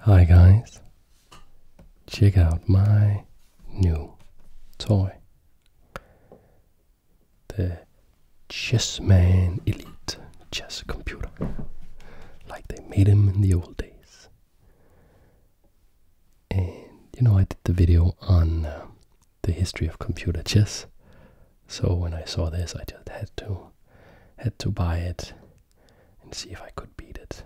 Hi guys, check out my new toy, the Chessman Elite chess computer, like they made him in the old days. And you know, I did the video on uh, the history of computer chess, so when I saw this, I just had to had to buy it and see if I could beat it.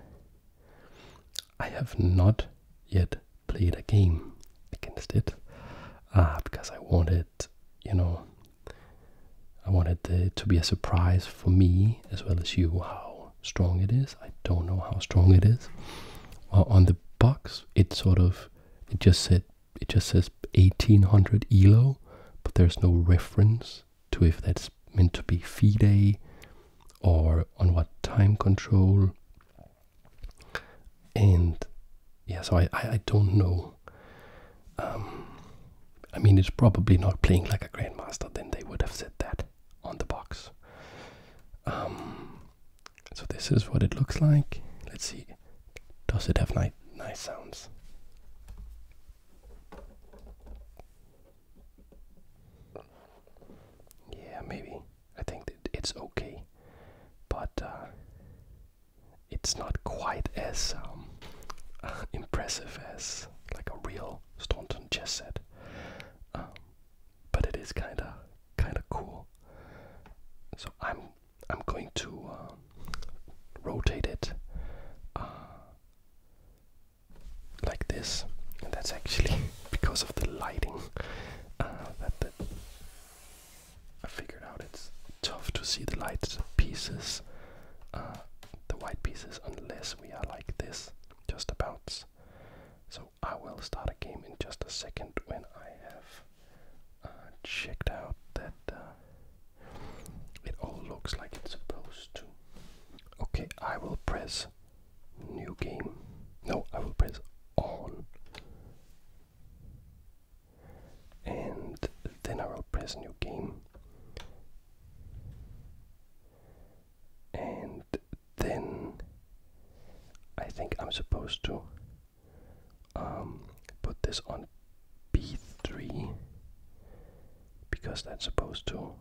I have not yet played a game against it uh, because I wanted, you know, I wanted it to be a surprise for me as well as you how strong it is. I don't know how strong it is. on the box, it sort of it just said it just says 1800 elo, but there's no reference to if that's meant to be fee day or on what time control. And yeah, so I, I, don't know. Um, I mean, it's probably not playing like a Grandmaster, then they would have said that on the box. Um, so this is what it looks like. Let's see, does it have nice nice sounds? Yeah, maybe. I think that it's okay, but uh, it's not quite as um, impressive as like a real Staunton chess set. Um, but it is kind of kind of cool. So I'm I'm going to uh, rotate it uh, like this, and that's actually because of the lighting uh, that I figured out it's tough to see the light pieces, uh, the white pieces, unless we are like this, just about. So I will start a game in just a second when I have uh, checked out that uh, it all looks like it's supposed to. Okay, I will press new game. No, I will press on. And then I will press new game. And then I think I'm supposed to um, put this on B3 because that's supposed to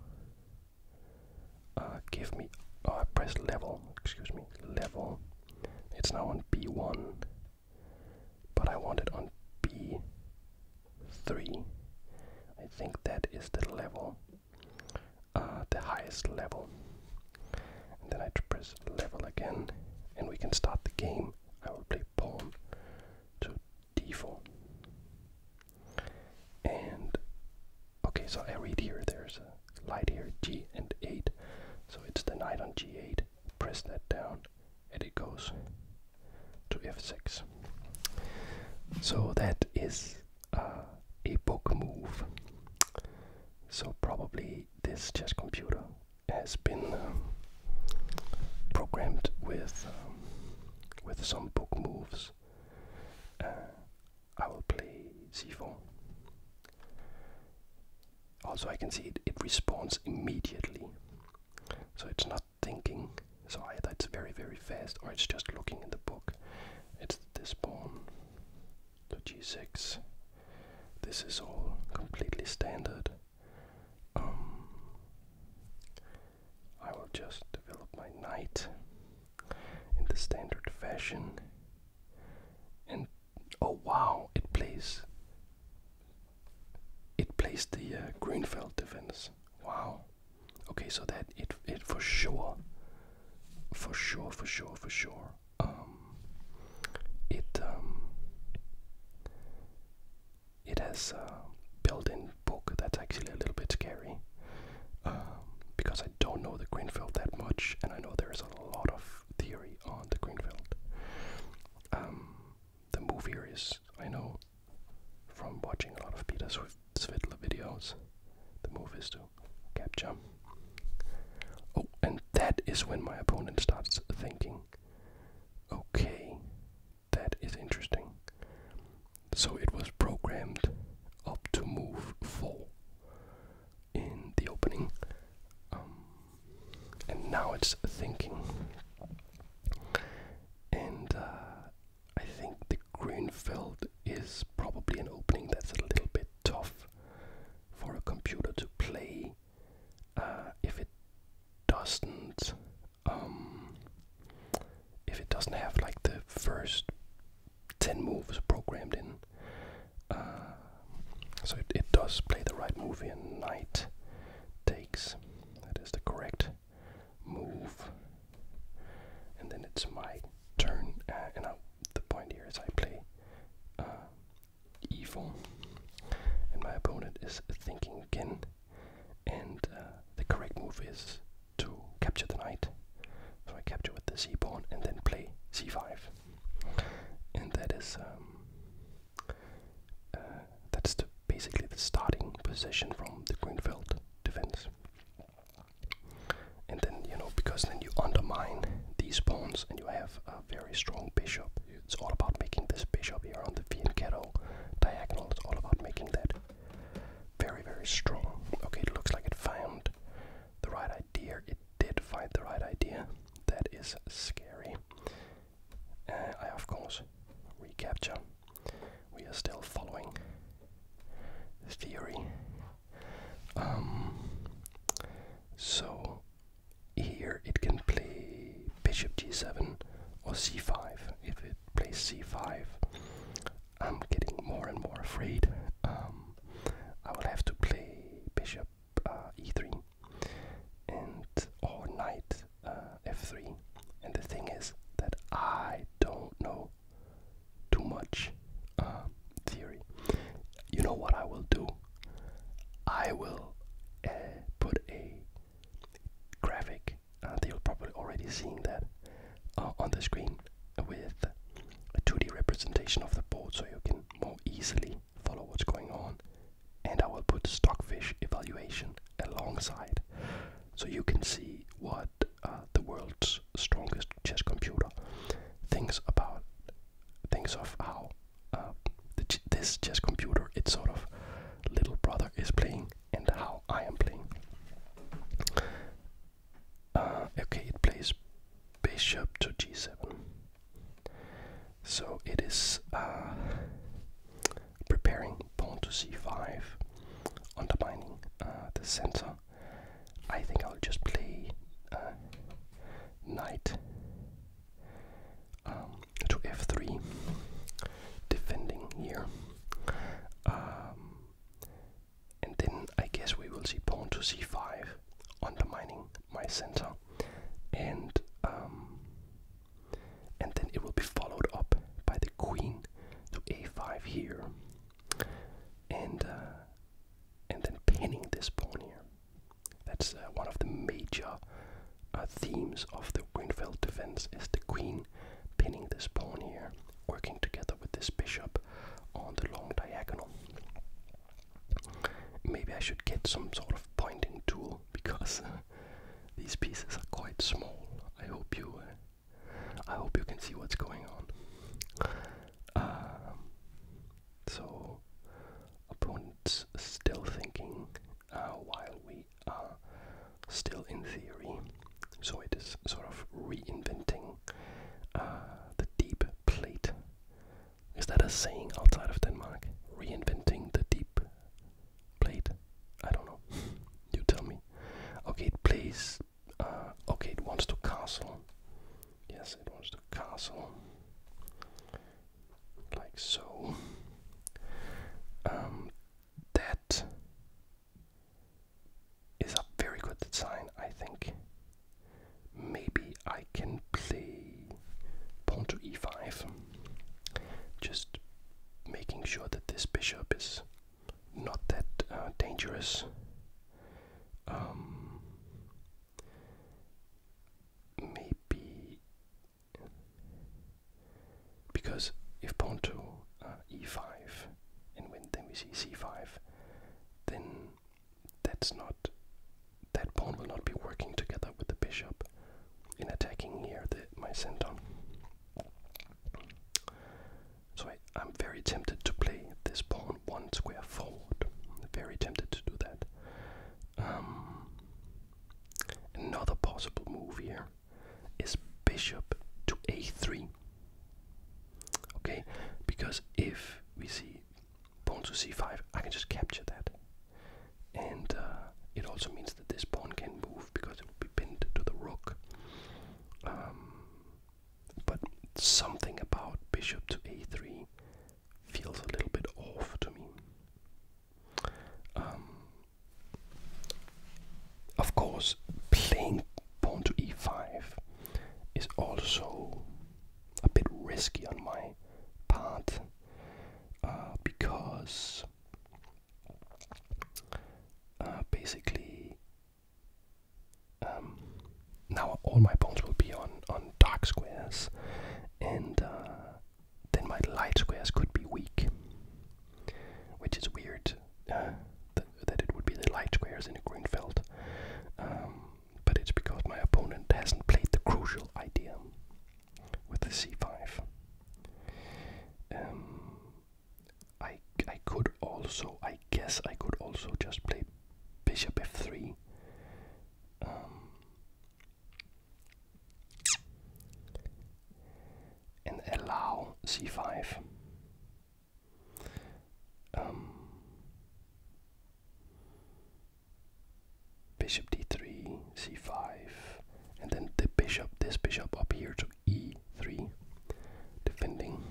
uh, give me. Oh, I press level. Excuse me, level. It's now on B1, but I want it on B3. I think that is the level, uh, the highest level. And then I press level again, and we can start the game. I will play pawn to d4. And okay, so I read here there's a light here, g and 8. So it's the knight on g8. Press that down, and it goes to f6. So that is uh, a book move. So probably this chess computer has been um, programmed with um, with some book moves uh, I will play c4. Also, I can see it, it responds immediately. So it's not thinking. So either it's very, very fast or it's just looking in the book. It's this pawn to g6. This is all completely standard. Um, I will just develop my knight in the standard fashion. And oh wow, it plays it plays the uh, Greenfield defense. Wow. Okay, so that it it for sure, for sure, for sure, for sure. Um, it um, it has a uh, built-in book that's actually a little bit scary um, because I don't know the Greenfield that much, and I know there is a lot of theory on the Greenfield. Um, the move here is I know, from watching a lot of Peter Svidler videos, the move is to capture. Oh, and that is when my opponent starts thinking, okay, that is interesting. So it was programmed up to move full in the opening. Um, and now it's thinking. And uh, I think the Greenfield is probably an opening that's a little bit tough for a computer to play uh, if it doesn't um, if it doesn't have like the first 10 moves programmed in. Uh, so it, does play the right move in knight takes. That is the correct move. And then it's my turn. Uh, and I, the point here is I play uh, evil. And my opponent is thinking again and uh, the correct move is to capture the knight. So I capture with the c pawn and then play c5, and that is um, uh, that's basically the starting position from the Greenfield defense. And then you know because then you undermine these pawns and you have a very strong bishop. It's all about making this bishop here on the fianchetto diagonal. It's all about making that very, very strong. Okay, it looks like it found the right idea. It did find the right idea. That is scary. Uh, I, of course, recapture. We are still following the theory. Um, so, here it can play bishop g7 or c5. If it plays c5, I'm getting more and more afraid. Um, I will have to play bishop uh, e3 and or knight uh, f3. And the thing is that I don't know too much um, theory. You know what I will do? I will uh, put a graphic you they probably already seeing that uh, on the screen with a 2D representation of the board so you can more easily follow what's going on. And I will put stockfish evaluation alongside so you can see what uh, the world's strongest chess computer thinks about, thinks of how uh, this chess computer, its sort of little brother, is playing and how I am playing. Uh, okay, it plays bishop to g7. So it is uh, preparing pawn to c5, undermining uh, the center. I think I'll just play knight um, to f3, defending here. Um, and then I guess we will see pawn to c5, undermining my center. And um, and then it will be followed up by the queen to a5 here. And uh, and then pinning this pawn here. That's uh, one of the major uh, themes of the Winfield defense is the queen pinning this pawn here working together with this bishop on the long diagonal. Maybe I should get some sort of pointing tool because these pieces are quite small. I hope you, uh, I hope you can see what's going on. Um, so, opponents still thinking uh, while we are still in theory. So it is sort of reinventing uh, the deep plate. Is that a saying outside of Denmark? Reinventing the deep plate? I don't know. you tell me. Okay, it plays. okay, it wants to castle. Yes, it wants to castle. Like so. Um, that is a very good design, I think. Maybe I can play pawn to e5, just making sure that this bishop is not that uh, dangerous. Um, maybe because if pawn to uh, e5 and then we see c5, then that's not that pawn will not be working together with the bishop in attacking here the, my center. So I, am very tempted to play this pawn one square forward. Very tempted to do that. Um, another possible move here is bishop to a3. Okay, because if we see pawn to c5, I can just capture that. And uh, it also means that this pawn can move because it will be pinned to the rook. Um, but something about bishop to a3 feels a little bit off to me. Um, of course, playing pawn to e5 is also a bit risky on my part uh, because uh, basically um, now all my pawns will be on on dark squares and uh, then my light squares could be weak which is weird that it would be the light squares in a green field. Um, but it's because my opponent hasn't played the crucial idea with the c5. Um, I, I could also, I guess I could also just play bishop f3. Um, and allow c5 um, bishop d3, c5, and then the bishop, this bishop up here to e3, defending.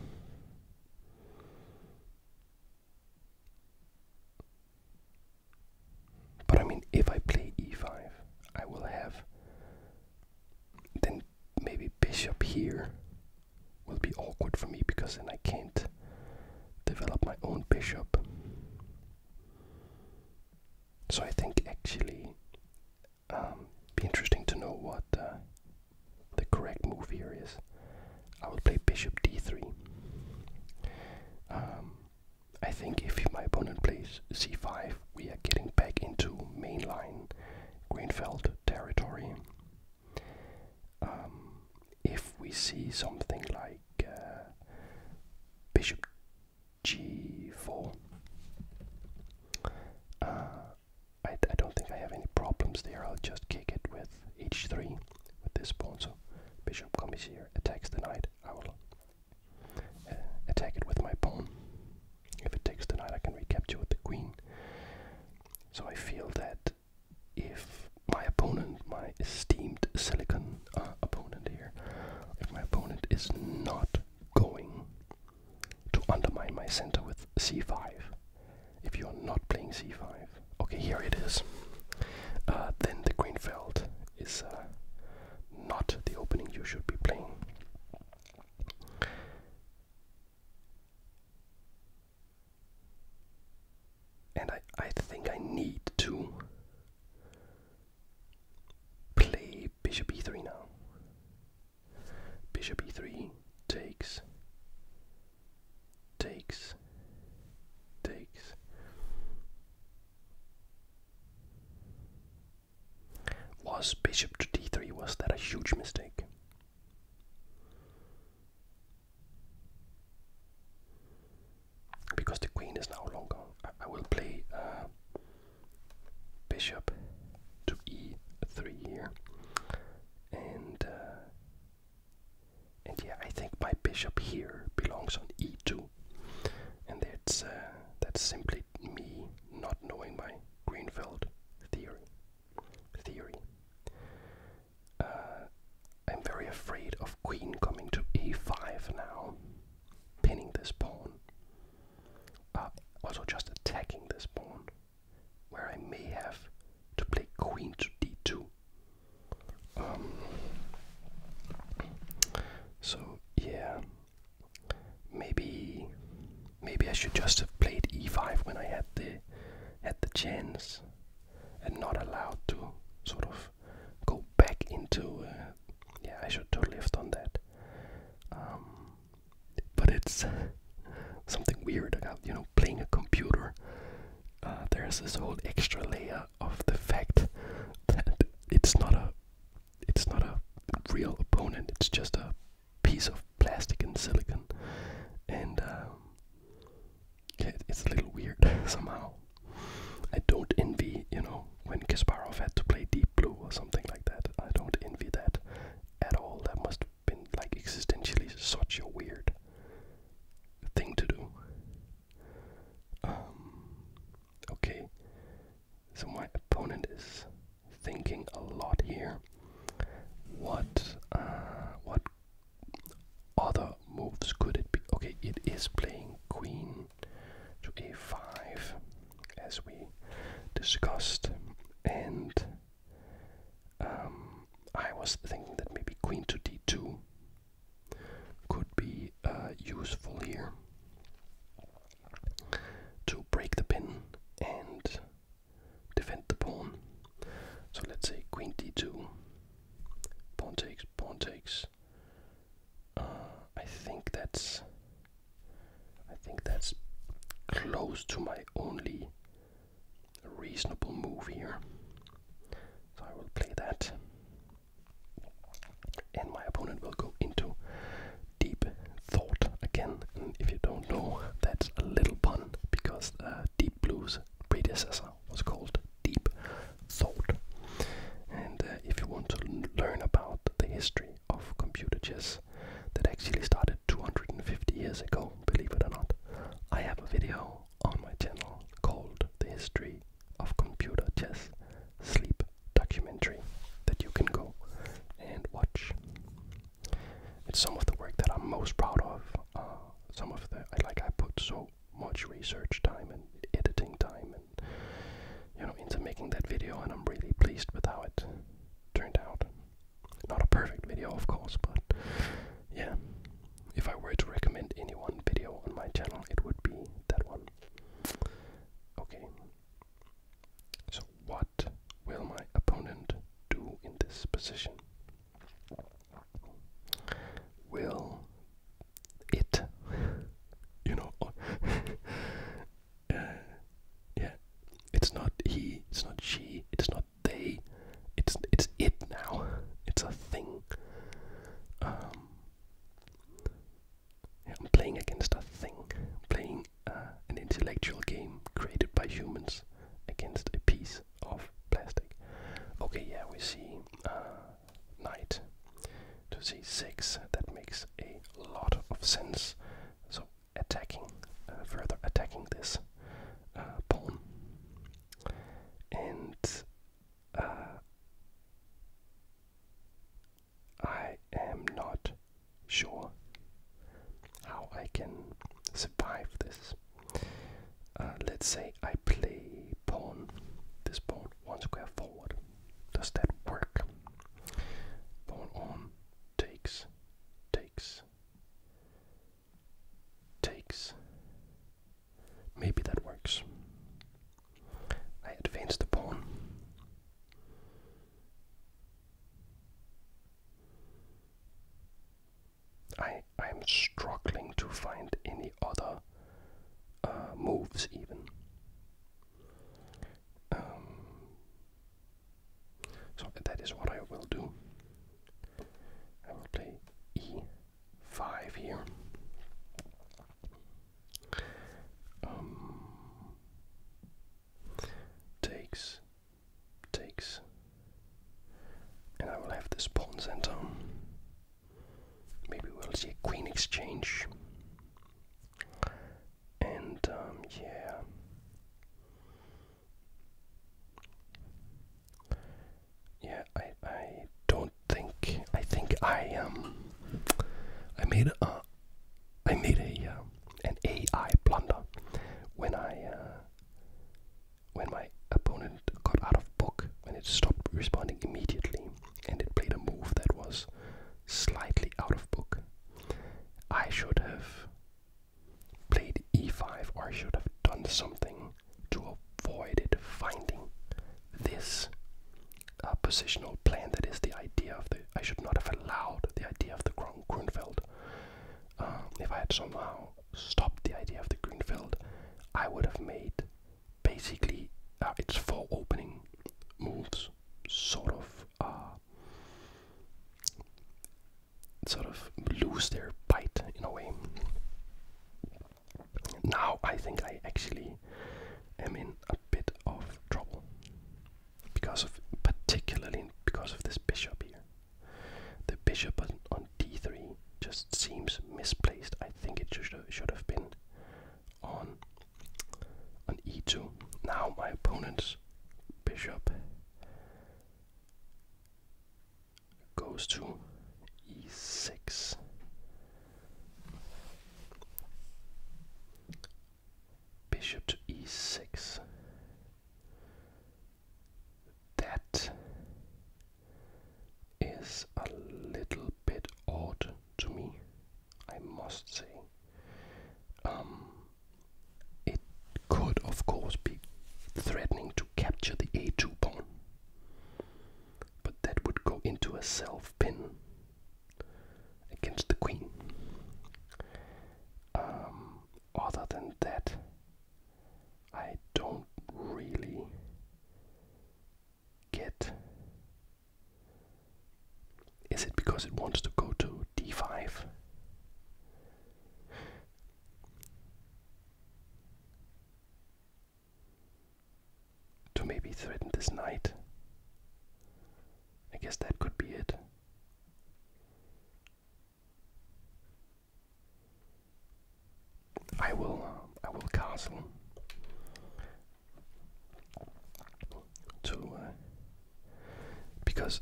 But I mean, if I play e5, I will have. Then maybe bishop here will be awkward for me because then I can't develop my own bishop. So I think actually um be interesting to know what uh, the correct move here is. I will play bishop d3. Um, I think if my opponent plays c5, we are getting back into mainline Greenfield territory. Um, if we see something like uh, bishop g4, uh, I, don't think I have any problems there. I'll just kick it with h3 with this pawn. So bishop comes here, attacks the knight. I will uh, attack it with my pawn. If it takes the I can recapture with the queen. So I feel that if my opponent, my esteemed silicon uh, opponent here, if my opponent is not going to undermine my center with c5, if you are not playing c5, okay, here it is, uh, then the Greenfeld is uh, not the opening you should be playing. And I, I think I need to play bishop e3 now. Bishop e3 takes, takes, takes. Was bishop to d3, was that a huge mistake? Because the queen is now long I, will play uh, bishop to e3 here. And, uh, and yeah, I think my bishop here belongs on e2. And that's, uh, that's simply me not knowing my Greenfield theory theory. Uh, I'm very afraid of queen coming to a5 now, pinning this pawn. Uh, also just attacking this pawn, where I may have to play queen to d2. Um, so yeah, Maybe, maybe I should just have played e5 when I had the had the chance, and not allowed to sort of go back into. Uh, yeah, I should have lived on that. Um, but it's something weird about you know playing a computer. Uh, there's this whole extra layer of the fact that it's not a it's not a real opponent. It's just a piece of plastic and silicon, and um, it's a little weird somehow. I don't envy, you know, when Kasparov had to play Deep Blue or something like that. I don't envy that at all. That must have been like existentially such a weird thing to do. Um, okay, so my opponent is thinking a lot here. What uh, what other moves could it be? Okay, it is playing queen to a5 as we discussed, and um, I was thinking that maybe queen to d2 could be uh, useful here to break the pin and defend er the pawn. So let's say queen d2, pawn takes, pawn takes. Uh, I think that's. I think that's close to my only reasonable move here. So I will play that, and my opponent will go into deep thought again. if you don't know, that's a little pun because uh, Deep Blue's predecessor was called Deep Thought. And uh, if you want to learn about the history of computer chess that actually started 250 years ago, believe it or not, I have a video on my channel called The History of Computer Chess Sleep Documentary that you can go and watch. It's some of the work that I'm most proud of. Uh, some of the like I put so much research time and editing time and you know into making that video, and I'm really pleased with how it turned out. Not a perfect video, of course, but yeah. If I were to recommend any one video on my channel, it would be that one. Okay. So, what will my opponent do in this position? Will it, you know, uh, yeah, it's not he, it's not she, it's not they, it's it now, it's a thing. Um, I'm playing against a thing, playing uh, an intellectual game created by humans against a piece of plastic. Okay, yeah, we see uh, knight to c6. That makes a lot of sense. So attacking, uh, further attacking this uh, pawn, and uh, I am not sure how I can survive this. Uh, let's say I play pawn, this pawn one square forward. Does that work? Pawn on takes, takes, takes. Maybe that works. I advance the pawn. I am struggling to find any other uh, moves even. Um, so that is what I will do. I will play e5 here. Um, takes takes. And I will have this pawn center. Maybe we'll see a queen exchange. And um, yeah. Yeah, I I don't think I think I um I made a I made a um, an AI blunder when I uh, when my opponent got out of book when it stopped responding immediately and it played a move that was slightly out of book. I should have played e5 or I should have done something to avoid it finding this uh, positional plan that is the idea of the I should not have allowed the idea of the Grunfeld um, if I had somehow stopped the idea of the green field, I would have made basically uh, its four opening moves sort of uh, sort of lose their bite in a way. Now I think I actually am in a bit of trouble because of particularly because of this bishop here. The bishop on, d3 just seems misplaced. I think it should, should have been on, on e2. Now my opponent's bishop goes to e6. Bishop to e6. That is a little bit odd to me, I must say. Um, it could, of course, be threatening to capture the a2 pawn, but that would go into a self pin against the queen. Um, other than that, I don't really get. Is it because it wants to go to d5? To maybe threaten this knight? I guess that could be it. I will uh, I will castle to uh, because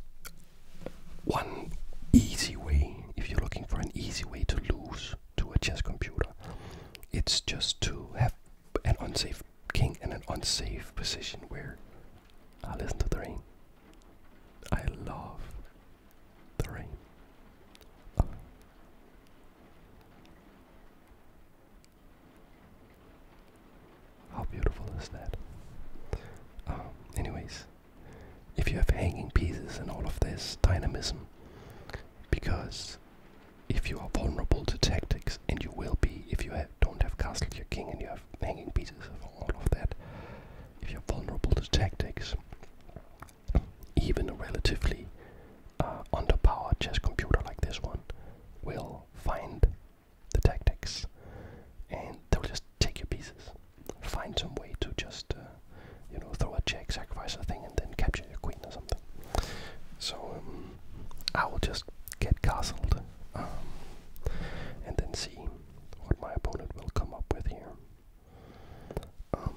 one easy way if you're looking for an easy way to lose to a chess computer it's just to have an unsafe king in an unsafe position where I uh, listen to the rain I love the rain. How beautiful is that? Um, anyways, if you have hanging pieces and all of this dynamism, because if you are vulnerable to tactics, and you will be if you don't have castle your king and you have hanging pieces and all of that, if you're vulnerable to tactics, even a relatively uh, underpowered chess computer like this one will find the tactics and they'll just take your pieces, find some way to just, uh, you know, throw a check, sacrifice a thing, and then capture your queen or something. So um, I will just get castled um, and then see what my opponent will come up with here. Um,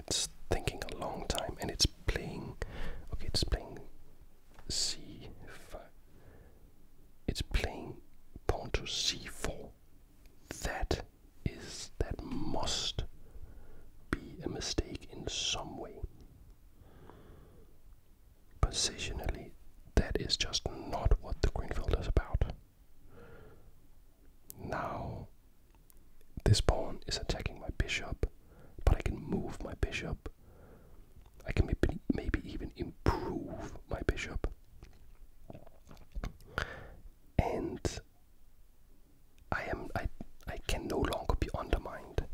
it's thinking a long time and it's playing. Okay, it's playing c5. It's playing pawn to c4. That is, that must be a mistake in some way. Positionally, that is just not what the greenfield is about. Now, this pawn is attacking my bishop, but I can move my bishop. I can maybe, maybe even improve my bishop. And I am I I can no longer be undermined.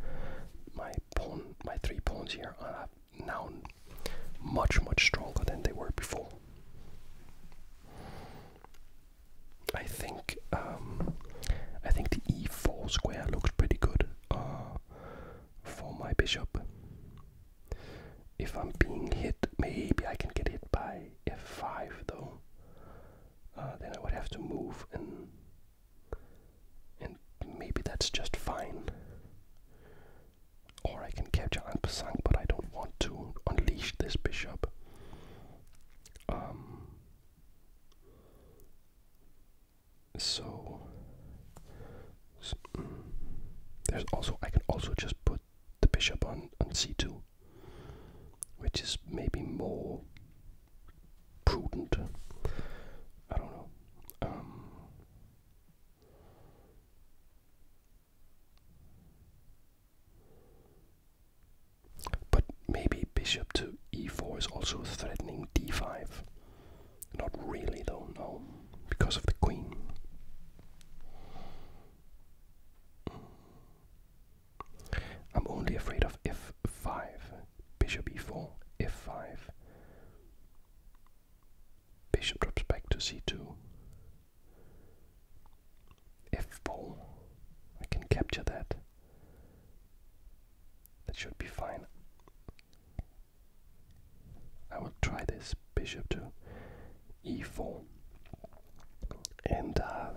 My pawn, my three pawns here are now much, much stronger than they were before. I think um, I think the e4 square looks pretty good uh, for my bishop. If I'm being hit, maybe I can get hit by f5 though. Uh, then I would have to move and and maybe that's just fine. Or I can capture Anpasang, but I don't want to unleash this bishop. Um, so, mm, there's also I can also just put the bishop on on c2, which is maybe more prudent. I don't know. Um, but maybe bishop to e4 is also threatening d5. Not really, though, no, because of the queen. I'm only afraid of f5, bishop e4, f5. Bishop drops back to c2. f4. I can capture that. That should be fine. I will try this bishop to e4. And uh,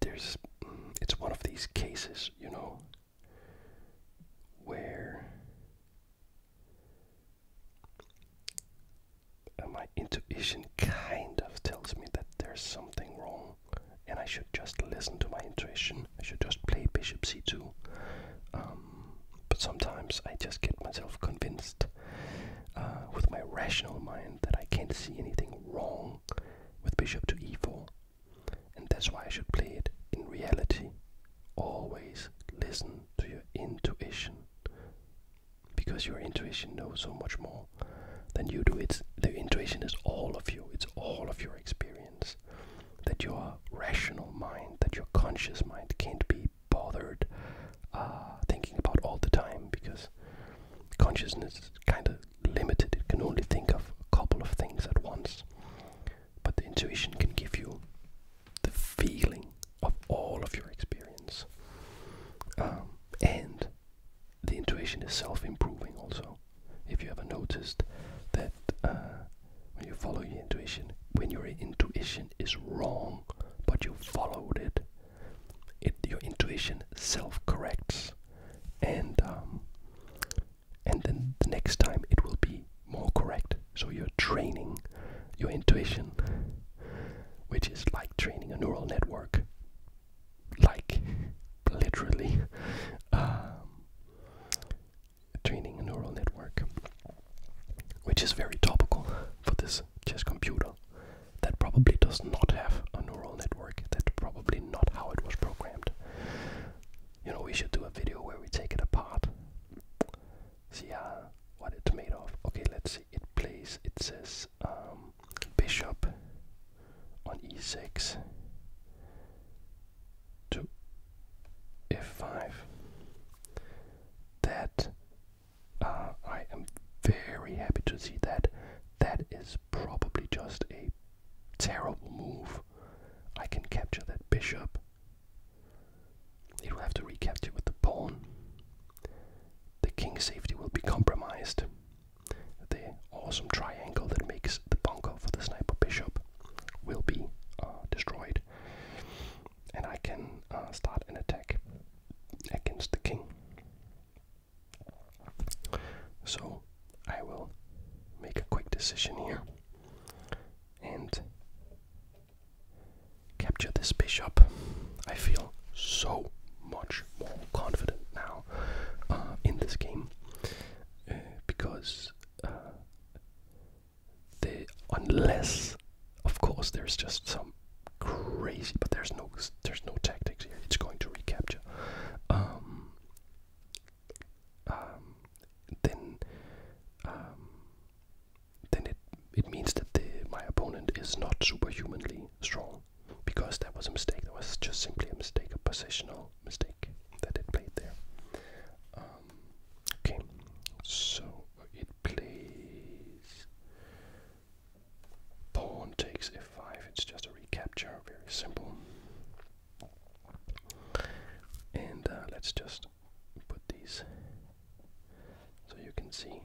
there's, mm, it's one of these cases, you know, where my intuition kind of tells me that there's something wrong and I should just listen to my intuition. I should just play bishop c2. Um, but sometimes I just get myself convinced uh, with my rational mind that I can't see anything wrong with bishop to e4. And that's why I should play it in reality. Always listen to your intuition. Because your intuition knows so much more than you do. It's the intuition is all of you. It's all of your experience. That your rational mind, that your conscious mind can't be bothered uh, thinking about all the time because consciousness is kind of limited. It can only think of a couple of things at once but the intuition can give you the feeling of all of your experience. Um, and the intuition is self improving also. If you ever noticed that uh, when you follow your intuition, when your intuition is wrong, but you followed it, it your intuition self corrects. And um, and then the next time it will be more correct. So you're training your intuition, which is like training a neural network, like literally um, training a neural network, which is very topical for this chess computer that probably does not have a neural network. That's probably not how it was programmed. You know, we should do a video where we take it apart. See uh, what it's made of. Okay, let's see. It plays, it says um, bishop on e6 to f5. That, uh, I am very happy to see that. That is probably just a Terrible move. I can capture that bishop. It will have to recapture with the pawn. The king's safety will be compromised. The awesome triangle that makes the bunker for the sniper bishop will be uh, destroyed. And I can uh, start an attack against the king. So I will make a quick decision here and capture this bishop. I feel so much more confident now uh, in this game uh, because uh, unless of course there's just some crazy, but there's no there's no tactics It's going to recapture. Um, um, then um, then it it means that the, my opponent is not superhumanly strong because that was a mistake. That was just simply a mistake, a positional mistake that it played there. Um, okay, so it plays pawn takes f5. It's just a recapture, very simple. And uh, let's just put these so you can see.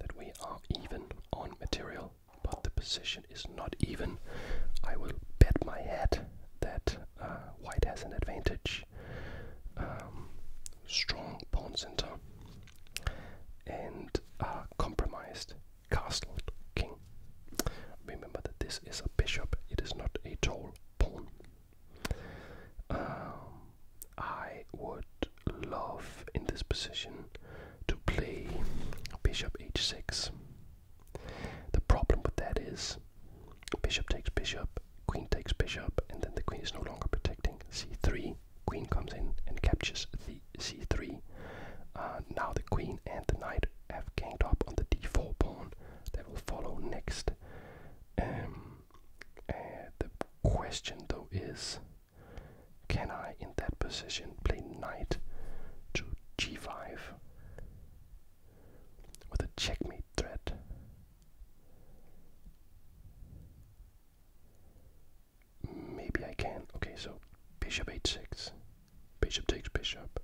That we are even on material, but the position is not even. I will bet my hat that uh, white has an advantage. Um, strong pawn center, and a compromised castle king. Remember that this is a bishop, it is not a tall pawn. Um, I would love in this position to play bishop h6. The problem with that is bishop takes bishop, queen takes bishop, and then the queen is no longer protecting c3 queen. comes in and captures the c3. Uh, now the queen and the knight have ganged up on the d4 pawn that will follow next. Um, the question though is, can I in that position play knight to g5 with a checkmate threat? Maybe I can. Okay, so bishop h6. Bishop takes bishop.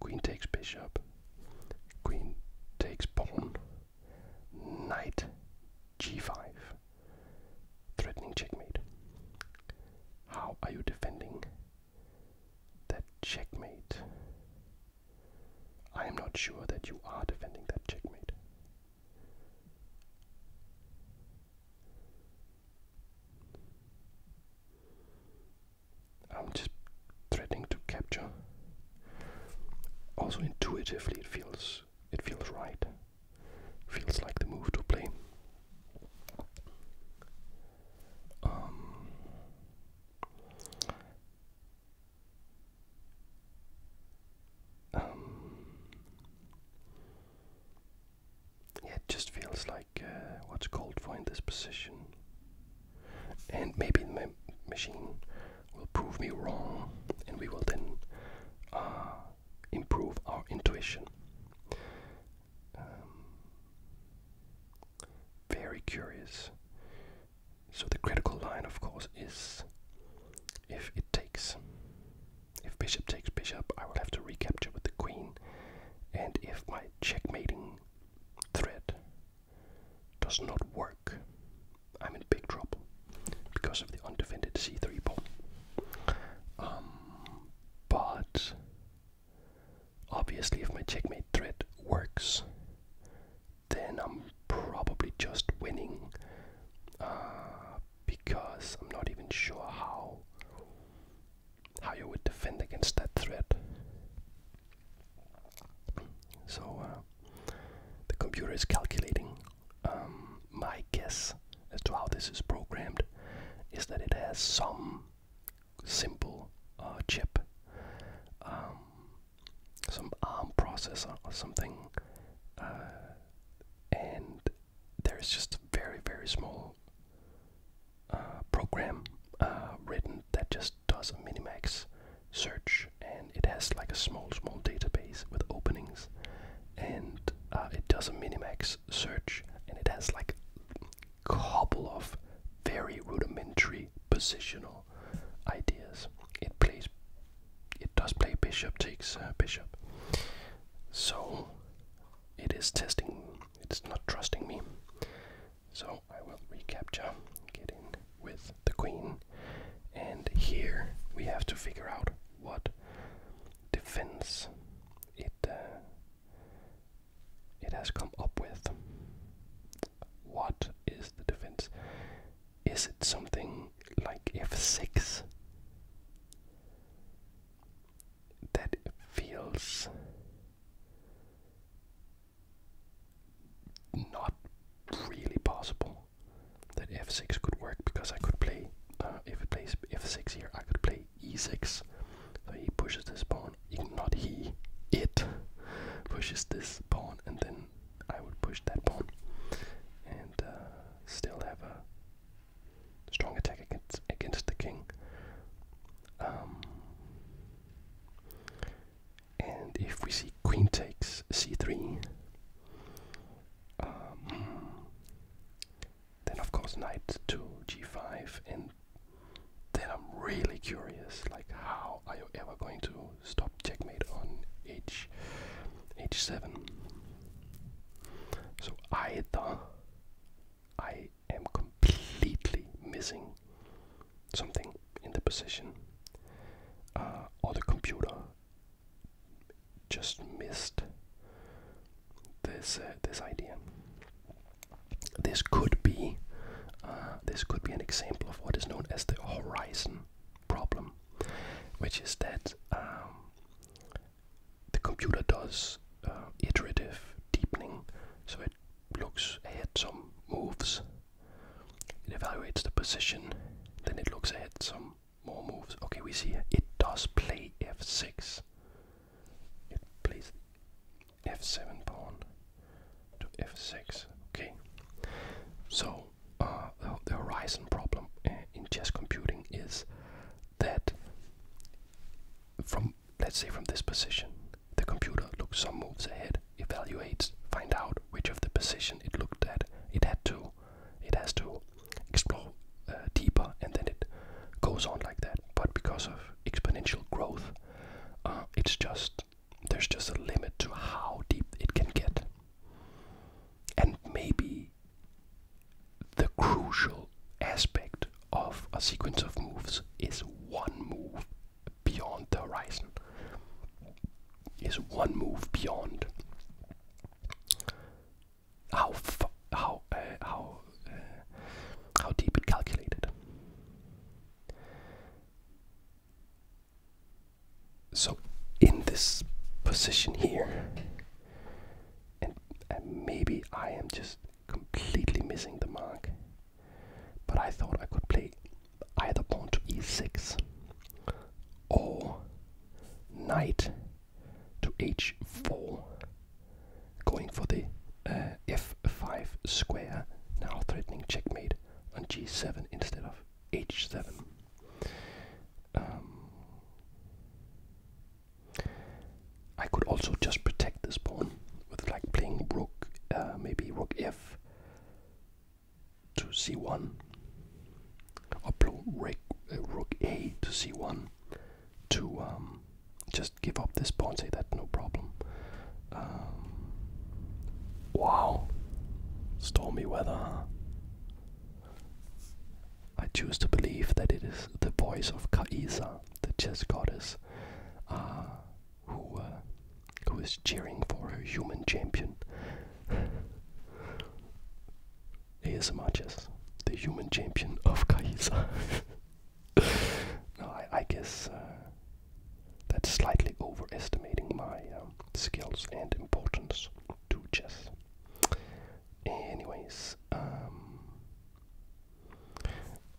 Queen takes bishop. Queen takes pawn. Knight g5. Threatening checkmate. How are you defending that checkmate? I am not sure that you are defending that checkmate. I'm just threatening to capture. Also intuitively it feels it feels right. Feels like the move to play. Um, um, it just feels like uh, what's called for in this position. And maybe the machine will prove me wrong, and we will then uh, improve our intuition. Um, very curious. So the critical line, of course, is if it takes. If bishop takes bishop, I will have to recapture with the queen, and if my checkmating threat does not work, I'm in big trouble because of the undefended c3 pawn. Um, but obviously, if my checkmate threat works, then I'm probably just winning uh, because I'm not even sure how how you would defend against that threat. So uh, the computer is calculating. Um, my guess as to how this is programmed is that it has some simple uh, chip, um, some ARM processor or something, uh, and there is just a very, very small uh, program uh, written that just does a minimax search and it has like a small, small database with openings and uh, it does a minimax search and it has like a couple of very rudimentary positional ideas. It plays it does play bishop takes uh, bishop. So it is testing, it's not trusting me. So I will recapture, get in with the queen. And here we have to figure out what defense it uh, it has come up with. What is the defense? Is it something like f6? that feels not really possible that f6 could work because I could play uh, if he plays f6 here I could play e6 so he pushes this pawn not he it pushes this pawn and then I would push that pawn and uh, still have a Strong attack against, against the king. Um, and if we see queen takes c3, um, then of course knight to g5, and then I'm really curious, like how are you ever going to stop checkmate on h h7? So either I am completely missing something in the position, uh, or the computer just missed this uh, this idea. This could be uh, this could be an example of what is known as the horizon problem, which is that um, the computer does uh, iterative deepening, so it looks ahead some moves, it evaluates the position, then it looks ahead some more moves. Okay, we see it does play f6. It plays f7 pawn to f6. Okay, so uh, the, horizon problem uh, in chess computing is that from let's say from this position the computer looks some moves ahead evaluates find out which of the position it looked at it had to it has to explore uh, deeper and then it goes on like that but because of exponential growth uh, it's just there's just a limit to how deep it can get and maybe the crucial aspect of a sequence of moves is one move beyond the horizon. Is one move beyond how how uh, how uh, how deep it calculated. So in this position here, and, maybe I am just completely missing the mark. But I thought I could play either pawn to e6 or knight to h4, going for the uh, f5 square, now threatening checkmate on g7 instead of h7. I could also just protect this pawn with like playing rook, uh, maybe rook f to c1, or blue rook, uh, rook a to c1 to um, just give up this pawn, say that no problem. Um, wow, stormy weather. I choose to believe that it is the voice of Kaisa, the chess goddess, uh, who uh, who is cheering for her human champion. ASMR chess, the human champion of Kaisa. no, I, I guess uh, that's slightly overestimating my um, skills and importance to chess. Anyways, um,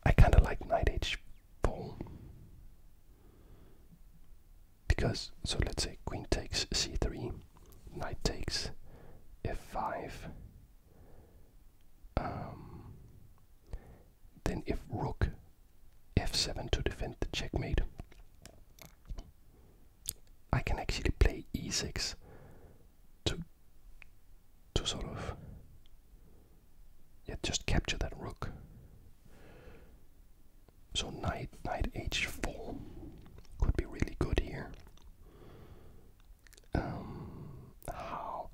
I kind of like knight h4 because so let's say queen takes c3, knight takes f5. Um, then if rook f7 to defend the checkmate, I can actually play e6 to to sort of yeah, just capture that rook. So knight knight h4 could be really good here. Um, how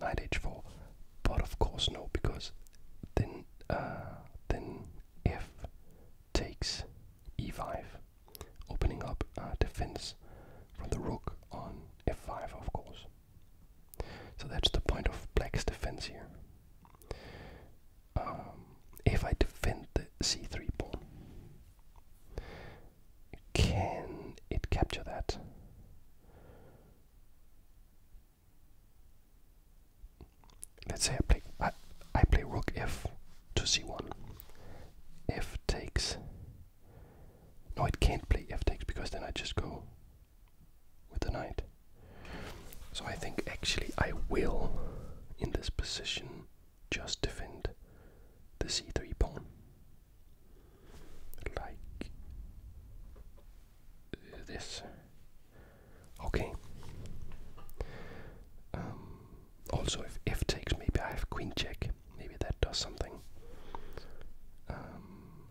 knight h4, but of course no, because then uh, then f takes e5 opening up uh, defense from the rook on f5, of course. So that's the point of black's defense here. Um, if I defend the c3 pawn, can it capture that? Let's say I play. I play rook f to c1. f takes. No, it can't play f takes because then I just go with the knight. So I think actually I will, in this position, just defend the c3 pawn. Like this. Okay. Um, also if f takes maybe I have queen check maybe that does something um,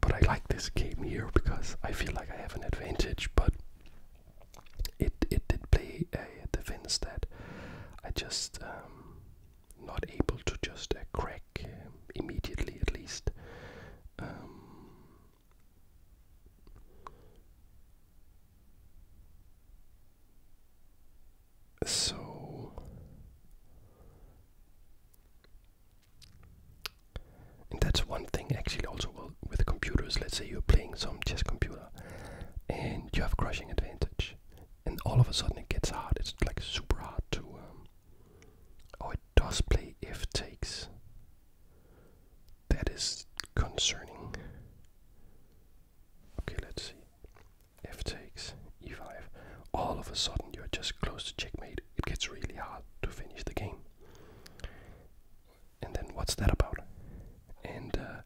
but I like this game here because I feel like I have an advantage but it it did play a uh, defense that I just um, not able to just uh, crack um, immediately at least um, so that's one thing actually also with computers. Let's say you're playing some chess computer and you have crushing advantage and all of a sudden it gets hard. It's like super hard to um, oh it does play if takes that is concerning. Okay, let's see. F takes e5. All of a sudden, you're just close to checkmate. It gets really hard to finish the game. And then, what's that about? And uh,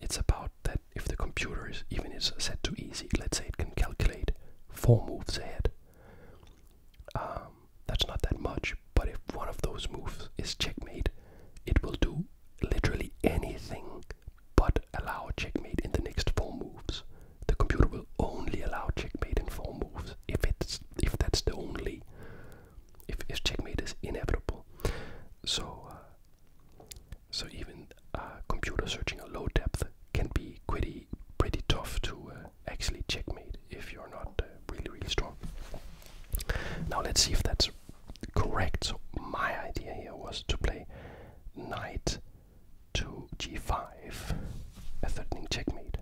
it's about that if the computer is even is set to easy, let's say it can calculate four moves ahead. Um, that's not that much but if one of those moves is checkmate, it will do literally anything but allow checkmate in the next four moves. The computer will only allow checkmate in four moves if it's if that's the only if, if checkmate is inevitable. So uh, so even a uh, computer searching a low depth can be pretty pretty tough to uh, actually checkmate if you're not really really strong. Now let's see if that's correct. So my idea here was to play knight to g5, a threatening checkmate.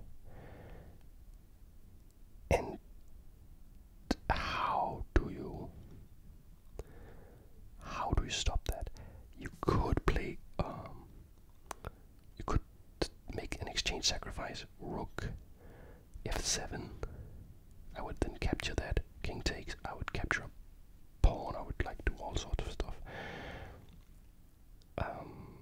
And how do you how do you stop that? You could play um you could make an exchange sacrifice rook f7. I would then capture that. King takes. I would capture a pawn. I would like do all sorts of stuff. Um,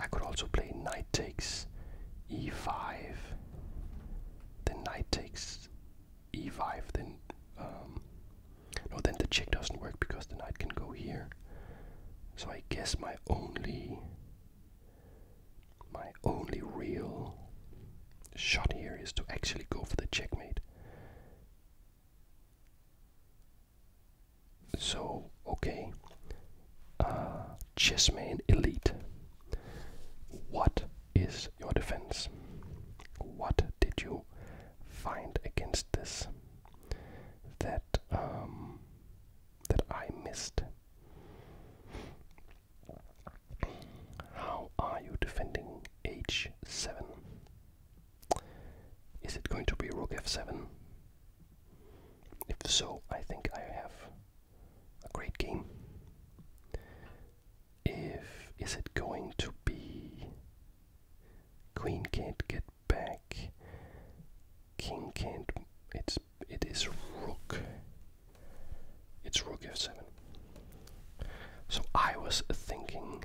I could also play knight takes e5, then knight takes e5, then um, no, then the check doesn't work because the knight can go here. So I guess my only my only real shot here is to actually go for the checkmate. So okay, uh, chessman elite. What is your defense? What did you find against this that um, that I missed? How are you defending h7? Is it going to be rook f7? If so, I think I have a great game if is it going to be queen can't get back king can't it's it is rook it's rook f7 so i was thinking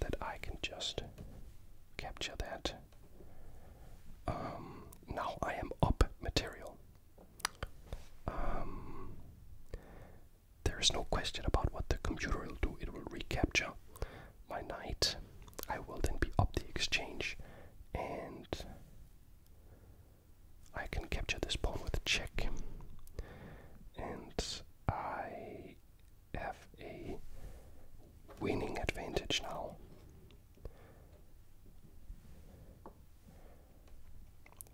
that i can just capture that um, now i am up material um, there is no question about what the computer will do. It will recapture my knight. I will then be up the exchange and I can capture this pawn with a check. And I have a winning advantage now.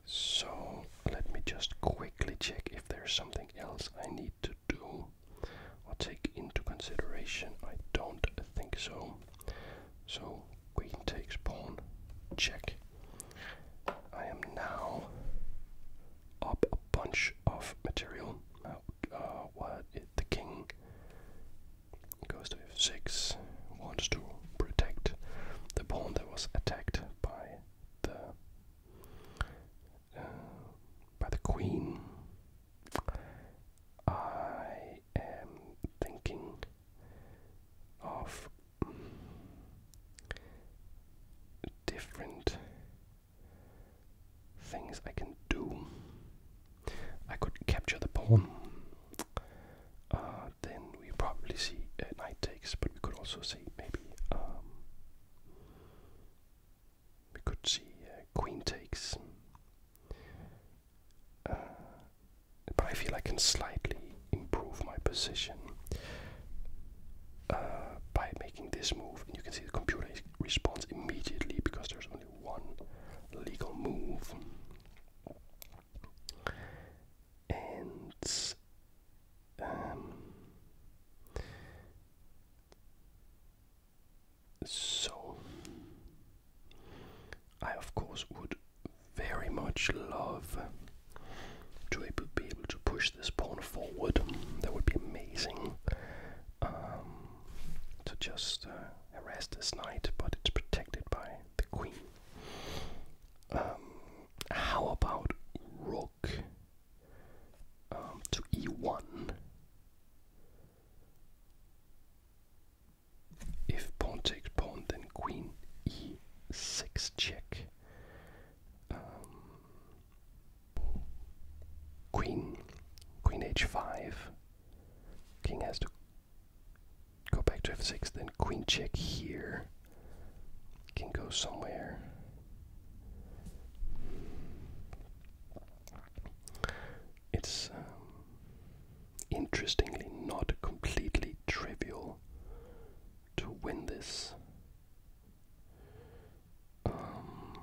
So let me just quickly check if there's something else I need to do or take into consideration. I don't think so. So queen takes pawn, check. I am now up a bunch of material. Uh, uh, the king? Goes to f6, wants to protect the pawn that was attacked by the uh, by the Queen. I am thinking of different things I can do. I could capture the pawn. Uh, then we probably see a uh, knight takes, but we could also maybe um, we could see uh, queen takes. Uh, but I feel I can slightly improve my position uh, by making this move. And you can see the computer responds immediately because there's only one legal move and um, so I of course would very much love to be able to push this pawn forward. That would be amazing. Um, to just uh, arrest this knight, but it's protected by the queen. Um, how about rook um, to e1 if pawn takes pawn then queen e6 check um, queen queen h5 king has to go back to f6 then queen check here can go somewhere. It's um, interestingly not completely trivial to win this. Um,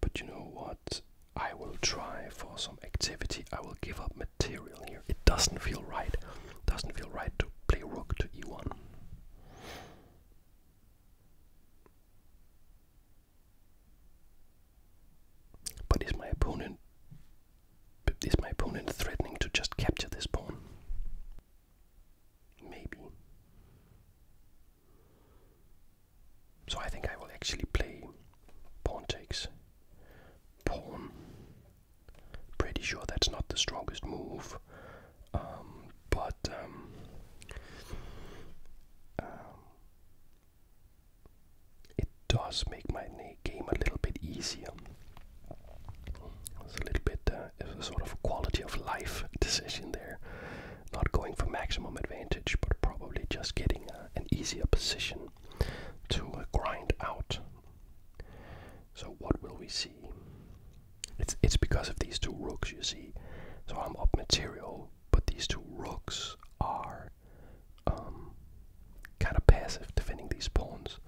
but you know what? I will try for some activity. I will give up material it doesn't feel right. Doesn't feel right to play rook to e1. But is my opponent is my opponent threatening to just capture this pawn? Maybe. So I think I will actually play pawn takes pawn Pretty sure that's not the strongest move, um, but um, um, it does make my game a little bit easier. It's a little bit uh, a sort of quality of life decision there, not going for maximum advantage, but probably just getting uh, an easier position to uh, grind out. So what will we see? It's it's because of these two rooks, you see. So I'm up material, but these two rooks are um, kind of passive defending these pawns.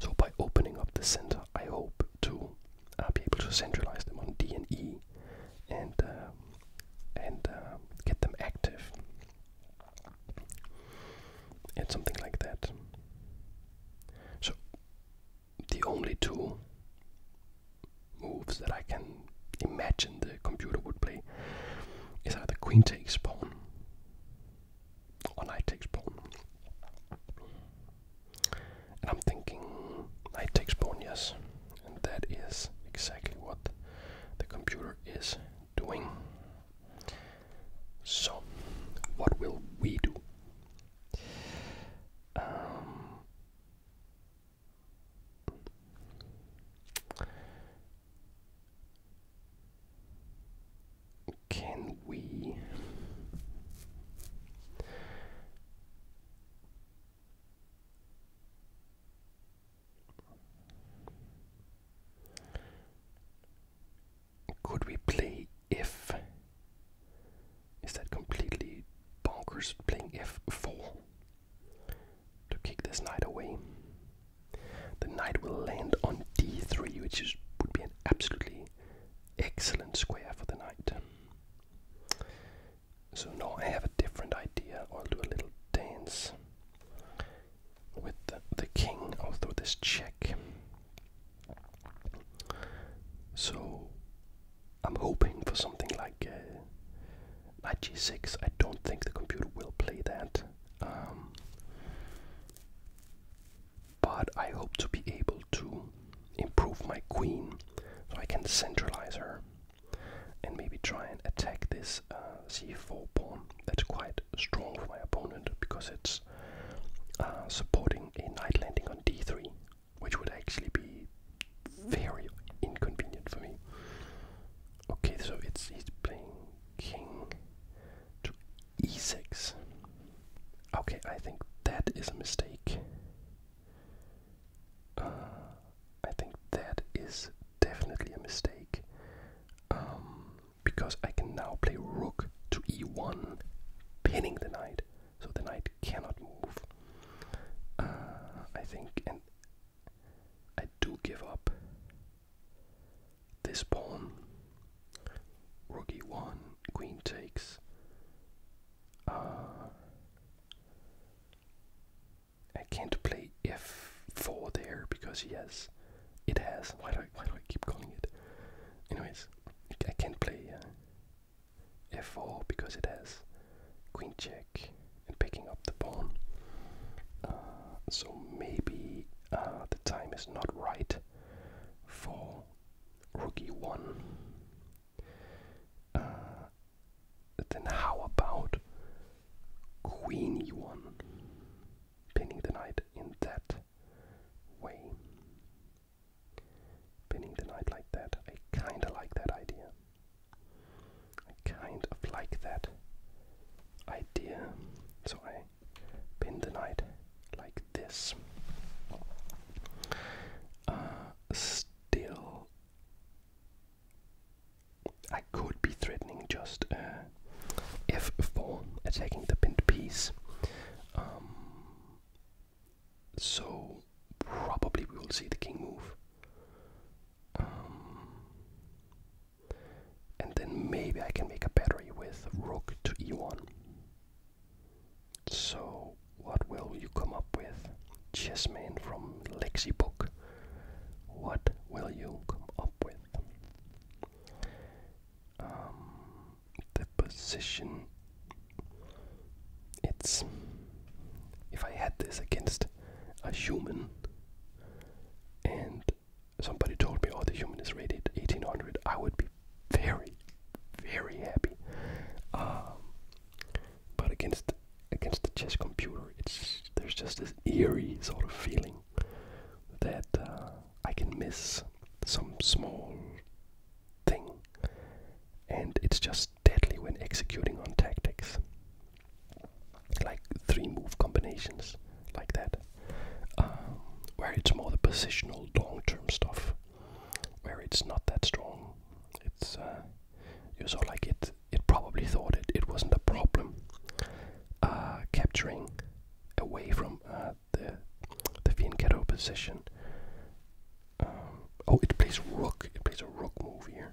So by opening up the center, I hope to uh, be able to centralize them on D and E, and uh, and uh, get them active. It's something like that. So, the only two moves that I can imagine the computer would play is either queen takes pawn or knight takes pawn. And I'm thinking knight takes pawn, yes. And that is exactly what the computer is doing. So, what will we do? Um, can we could we play if? Is that completely bonkers playing f4 to kick this knight away? The knight will land on d3, which is, would be an absolutely excellent square for the knight. So now I have a different idea. I'll do a little dance with the, king, although this check. So I'm hoping for something like uh, knight g6. I don't think the computer will play that. Um, but I hope to be able to improve my queen so I can centralize her and maybe try and attack this uh, c4 pawn that's quite strong for my opponent because it's uh, supporting a night landing on d3, which would actually be very inconvenient for me. Okay, so it's he's playing king to e6. Okay, I think that is a mistake. Uh, I think that is definitely a mistake. Um, because I can now play rook to e1, pinning the knight, so the knight cannot move. Uh, I think, and I do give up this pawn. Rook e1, queen takes. Uh, I can't play f4 there because he has it has. Why do I, why do I keep calling it? Anyways, I can't play uh, f4 because it has queen check and picking up the pawn. Uh, so maybe uh, the time is not right for rookie one then how about queen one Pinning the knight in that way. Pinning the knight like that, I kinda like that idea. I kind of like that idea. So I pin the night like this. Uh, still, I could be threatening just uh, f4, attacking the pinned piece. Um, so probably we will see the king move. Um, and then maybe I can make a battery with rook to e1. So what will you come up with? Chessman from Lexi Book. What will you come up with? Um, the position. It's. If I had this against a human and somebody told me, all oh, the human is rated 1800, I would be very, very happy. Um, but against against the chess computer, it's there's just this eerie sort of feeling that uh, I can miss some small thing, and it's just deadly when executing on tactics. Like three move combinations, like that, um, where it's more the positional long term stuff, where it's not that strong. It's uh, you saw like it. It probably thought it. It wasn't a problem uh, capturing away from uh, the the Fianchetto position. Um, oh, it plays rook. It plays a rook move here.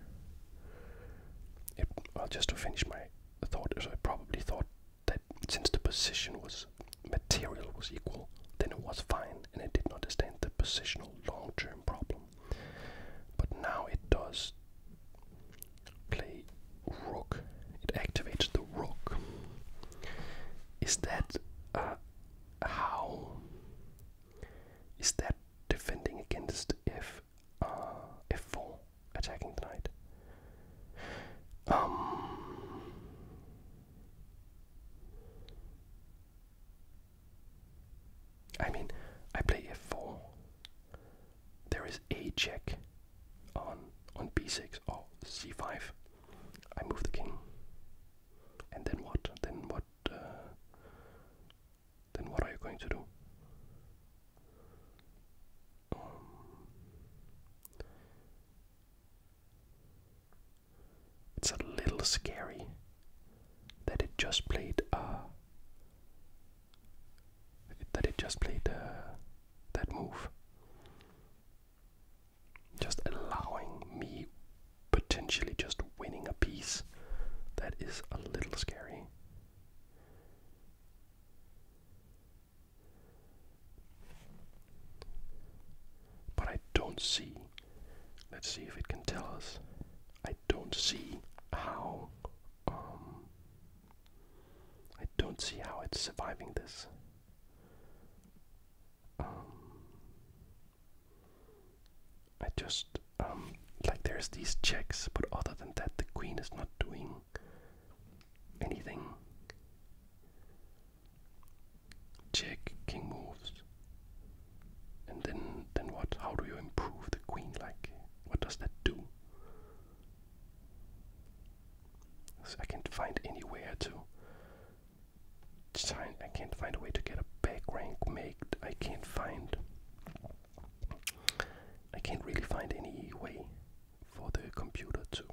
It, well, just to finish my thought, so I probably thought that since the position was material was equal, then it was fine, and it did not understand the positional long-term problem. But now it does play rook. It activates the rook. Is that uh, how? Is that defending against f uh, f4 attacking the knight? Um, I mean, I play f4. There is a check on on b6 or c5, I move the king. And then what? Then what? Uh, then what are you going to do? Um, it's a little scary that it just played uh, that it just played uh, that move just allowing me potentially just winning a piece that is a little scary. But I don't see. Let's see if it can tell us. I don't see how. Um, I don't see how it's surviving this. Um, I just um, like there's these checks, but other than that, the queen is not doing anything. Check king moves, and then then what? How do you improve the queen? Like, what does that do? I can't find anywhere to I can't find a way to get a back rank made. I can't find. I can't really find any way for the computer to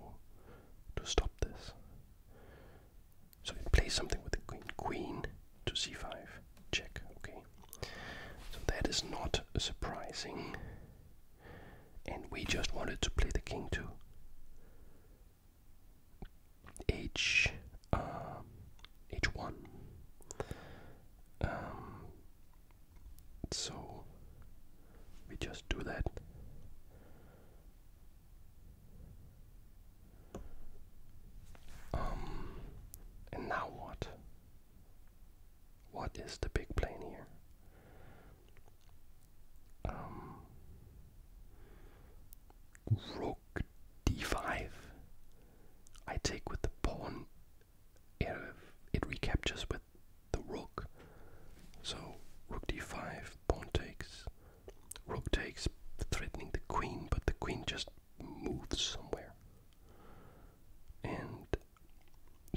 to stop this. So it plays something with the queen. Queen to c5. Check. Okay. So that is not surprising and we just wanted to play the king too. H, um, H1. Um, so we just do that. Um, and now what? What is the big plan here? Um, rook d5. I take with the pawn. It, recaptures with the rook. So rook d5, pawn takes. Rook takes, threatening the queen, but the queen just moves somewhere. And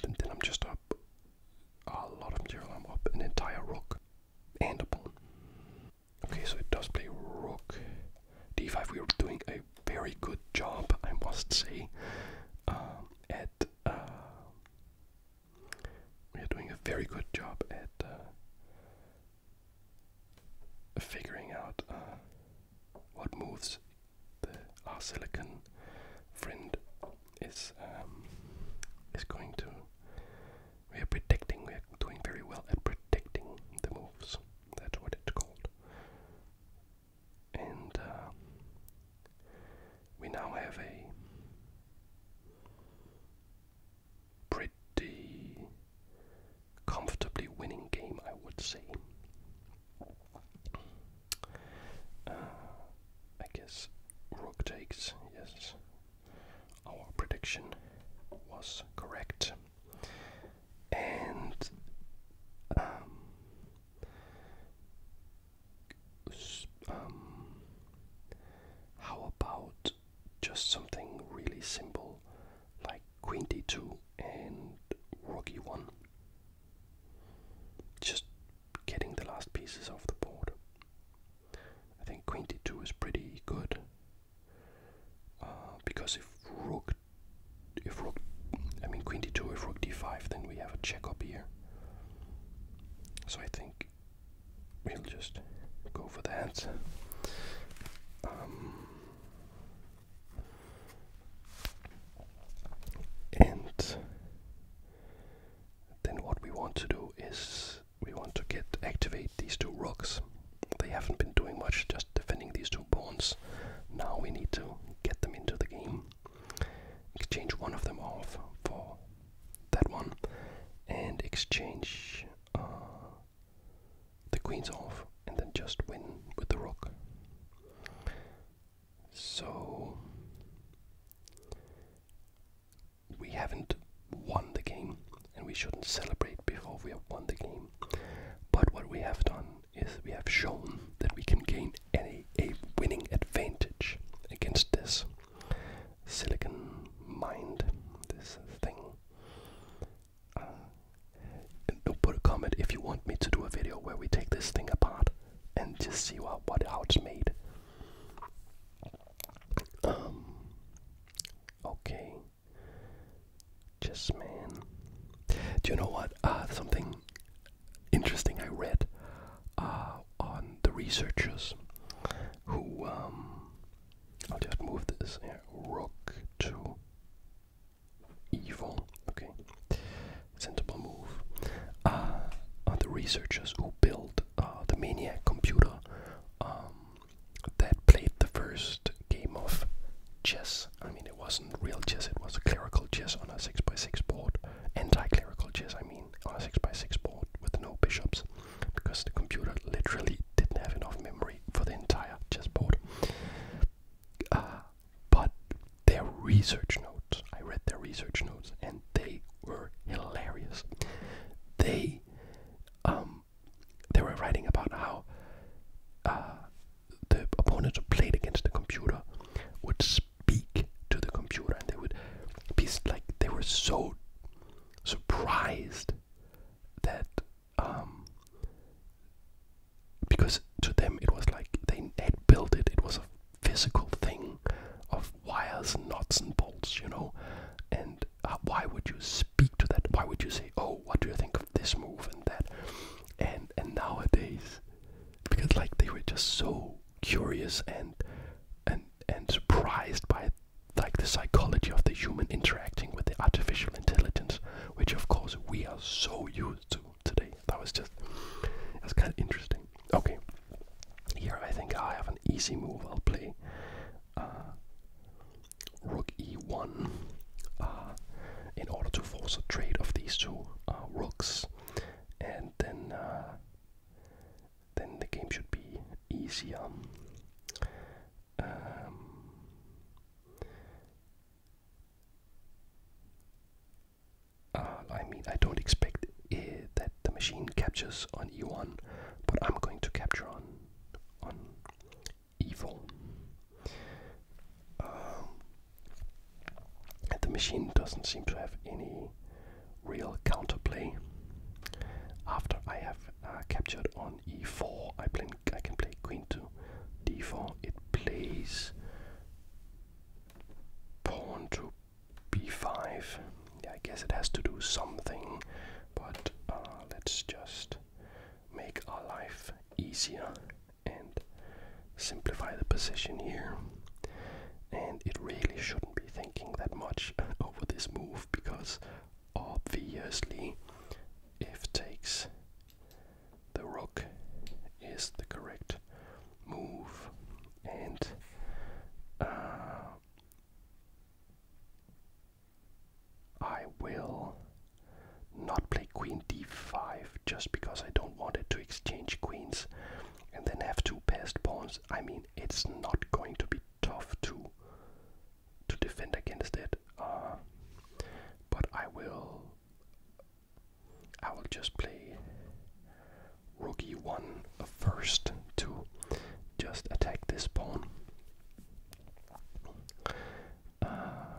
then I'm just up a lot of material I'm up, an entire rook and a pawn. Okay, so it does play rook d5. We are doing a very good job, I must say, um, at. Uh, we are doing a very good job at uh, figuring out uh, what moves the, our silicon friend is um, is going to. We are predicting. We are doing very well at predicting the moves. That's what it's called. And uh, we now have a pretty comfortably winning game, I would say. Uh, I guess rook takes, yes. Our prediction was correct. And um, um, how about just something really simple like queen d2 and rook e1? Just getting the last pieces off the board. I think queen d2 is pretty good uh, because if rook, if rook, I mean queen d2, if rook d5, then we have a check up here. So I think we'll just go for that. Um, and then what we want to do is we want to get activate these two rooks. They haven't been doing much, just defending these two pawns. Now we need to get them into the game. Exchange one of them off for that one, and exchange uh, the queens off, and then just win with the rook. So we haven't won the game, and we shouldn't celebrate before we have won the game. But what we have done is we have shown that we can gain any a winning advantage against this silicon mind, this thing. Uh, put a comment if you want me to do a video where we take this thing apart and just see what, what how it's made. Um, okay. Just man. Do you know what? Ah, something interesting I read Ah, on the researchers who. Um, I'll just move this yeah, rook to evil. Okay. Sensible move. Ah, on the researchers who built uh, the Maniac computer um, that played the first game of chess. I mean, it wasn't real chess, it was clerical chess on a 6x6 board. Anti clerical chess, I mean, on a 6x6 board with no bishops, because the computer literally didn't have enough memory for the entire chess board. Uh, but their research notes, I read their research notes, and they were hilarious. They, um, they were writing about how uh, the opponents who played against the computer would speak to the computer, and they would be like they were so surprised that um, because to them it was like they had built it. It was a physical thing of wires and knots and bolts, you know. And uh, why would you speak to that? Why would you say, "Oh, what do you think of this move and that?" And and nowadays, because like they were just so curious and and and surprised by like the psychology of the human interacting with the artificial intelligence, which of course we are so used to today. That was just was kind of interesting. Okay. Here I think I have an easy move. I'll play uh, rook e1 uh, in order to force a trade of these two uh, rooks, and then then the game should be easier. Um, I mean, I don't expect Eh, that the machine captures on e1, but I'm going to capture on on e4. Um, the machine doesn't seem to have any real counterplay. After I have uh, captured on e4, I, play, I can play queen to d4. It plays pawn to b5. Yeah, I guess it has to do something, but uh, let's just make our life easier and simplify the position here. And it really shouldn't be thinking that much over this move because obviously if takes the rook is the correct move and uh, I will not play queen d5 just because I don't want it to exchange queens and then have two passed pawns. I mean, it's not going to be tough to to defend against it. Uh, but I will I will just play rookie 1 first to just attack this pawn. Uh,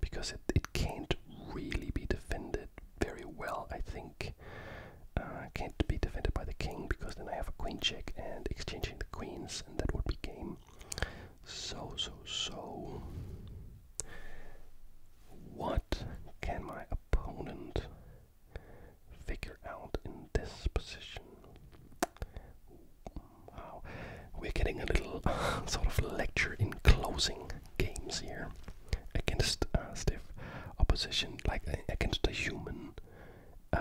because it, it can't really be defended very well, I think. Uh, can't be defended by the king because then I have a queen check and exchanging the queens, and that would be game. So, so, so. What can my opponent figure out in this position. Wow, we're getting a little sort of lecture in closing games here against uh, stiff opposition, like uh, against the human. Uh,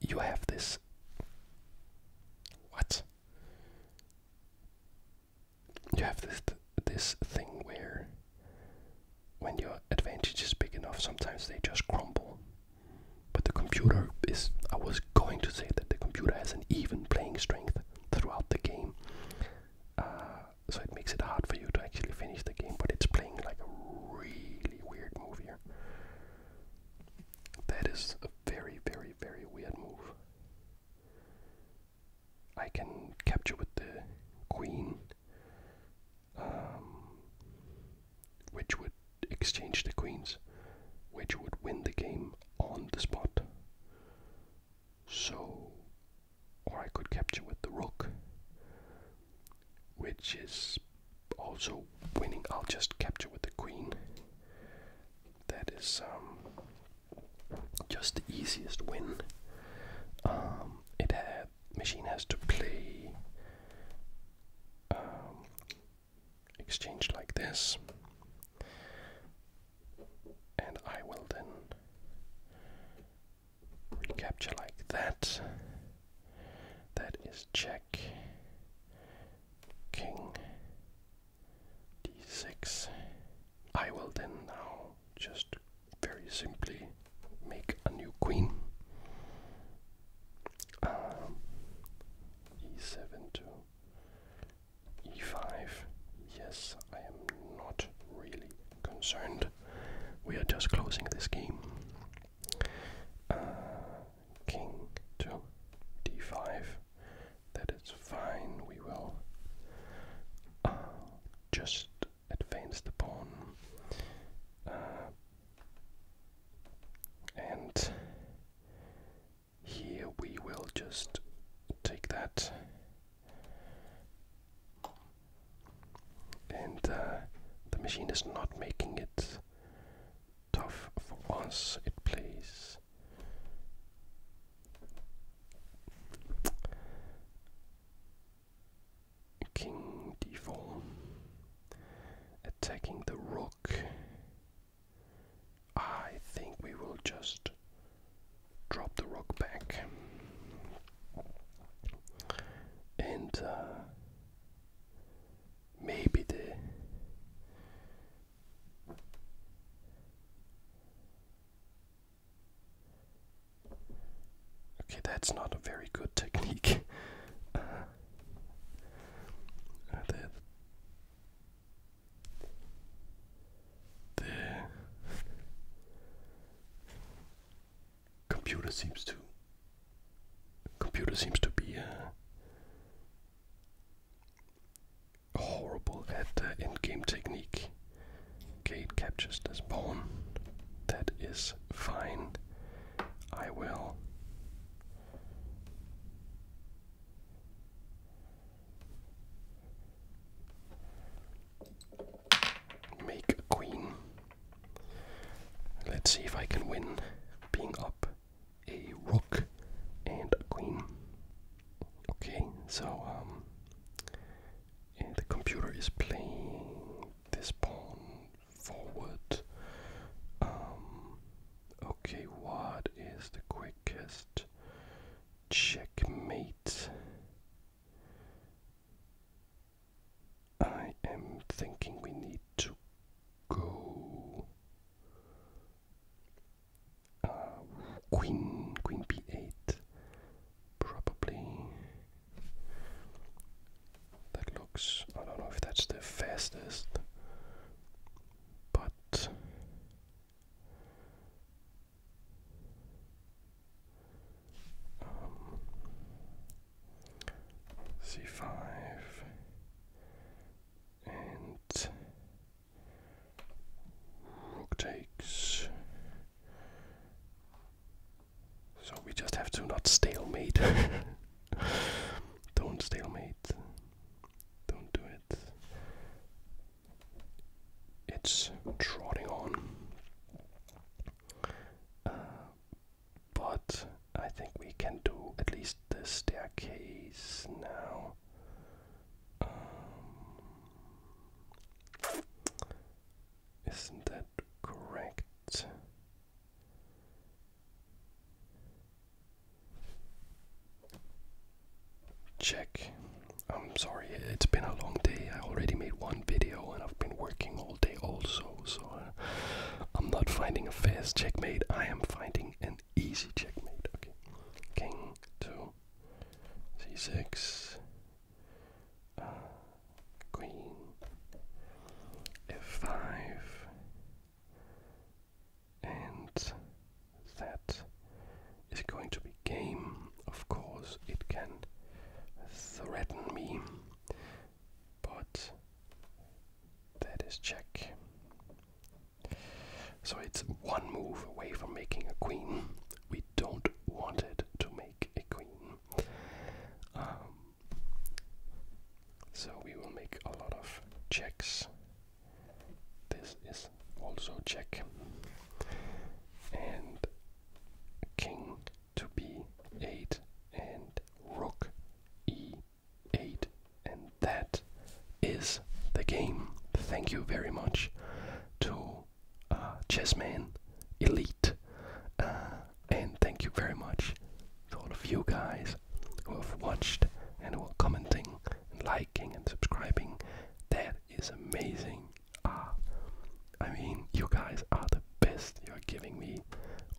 you have this. What? you have this this thing where when your advantage is big enough, sometimes they just crumble. But the computer is. I was going to say that the computer has an even playing strength throughout the game. Uh, so it makes it hard for you to actually finish the game, but it's playing like a really weird move here. That is a very, very, very weird move. I can capture with the queen, um, which would exchange the queens, which would win the game on the spot. So, or I could capture with the rook, which is also winning. I'll just capture with the queen. That is um just the easiest win. Um, it machine has to play um, exchange like this, and I will then recapture like that. That is check. King d6 I will then now just very simply make a new queen. Um, e7 to e5. Yes, I am not really concerned. We are just closing this game. Uh, king to d5. That is fine. We will uh, just advance the pawn. Uh, and here we will just take that and uh, the machine is not making it tough for us it plays King d4. Attacking the rook. I think we will just drop the rook back. And uh, maybe the Okay, that's not a very good technique. Uh, uh, the, the computer seems to computer seems to be uh, horrible at uh, endgame technique. Kate captures this pawn. That is fine. I will. Make queen. Let's see if I can win being up a rook and a queen. Okay, so um the computer is playing this pawn forward. Um, okay, what is the quickest checkmate? I am thinking we need to go uh, queen, queen b8 probably. That looks. I don't know if that's the fastest, but. Um, C5 and rook takes so we just have to not stalemate. Don't stalemate. Don't do it. It's trotting on. Uh, but I think we can do at least the staircase now. Um, isn't that correct? Check. I'm sorry, it's been a long day. I already made one video and I've been working all day also, so uh, I'm not finding a fast checkmate. I am finding an easy checkmate. Okay. King to c6 queen f5 and that is going to be game of course it can threaten me but that is check so it's one move away from making a queen don't want it to make a queen. Um, so we will make a lot of checks. This is also check. And king to b8 and rook e8. And that is the game. Thank you very much to uh, Chessman Elite. Uh, and thank you very much to all of you guys who have watched and who are commenting and liking and subscribing. That is amazing. Ah, I mean, you guys are the best. You're giving me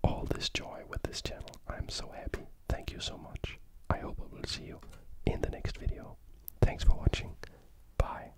all this joy with this channel. I'm so happy. Thank you so much. I hope I will see you in the next video. Thanks for watching. Bye.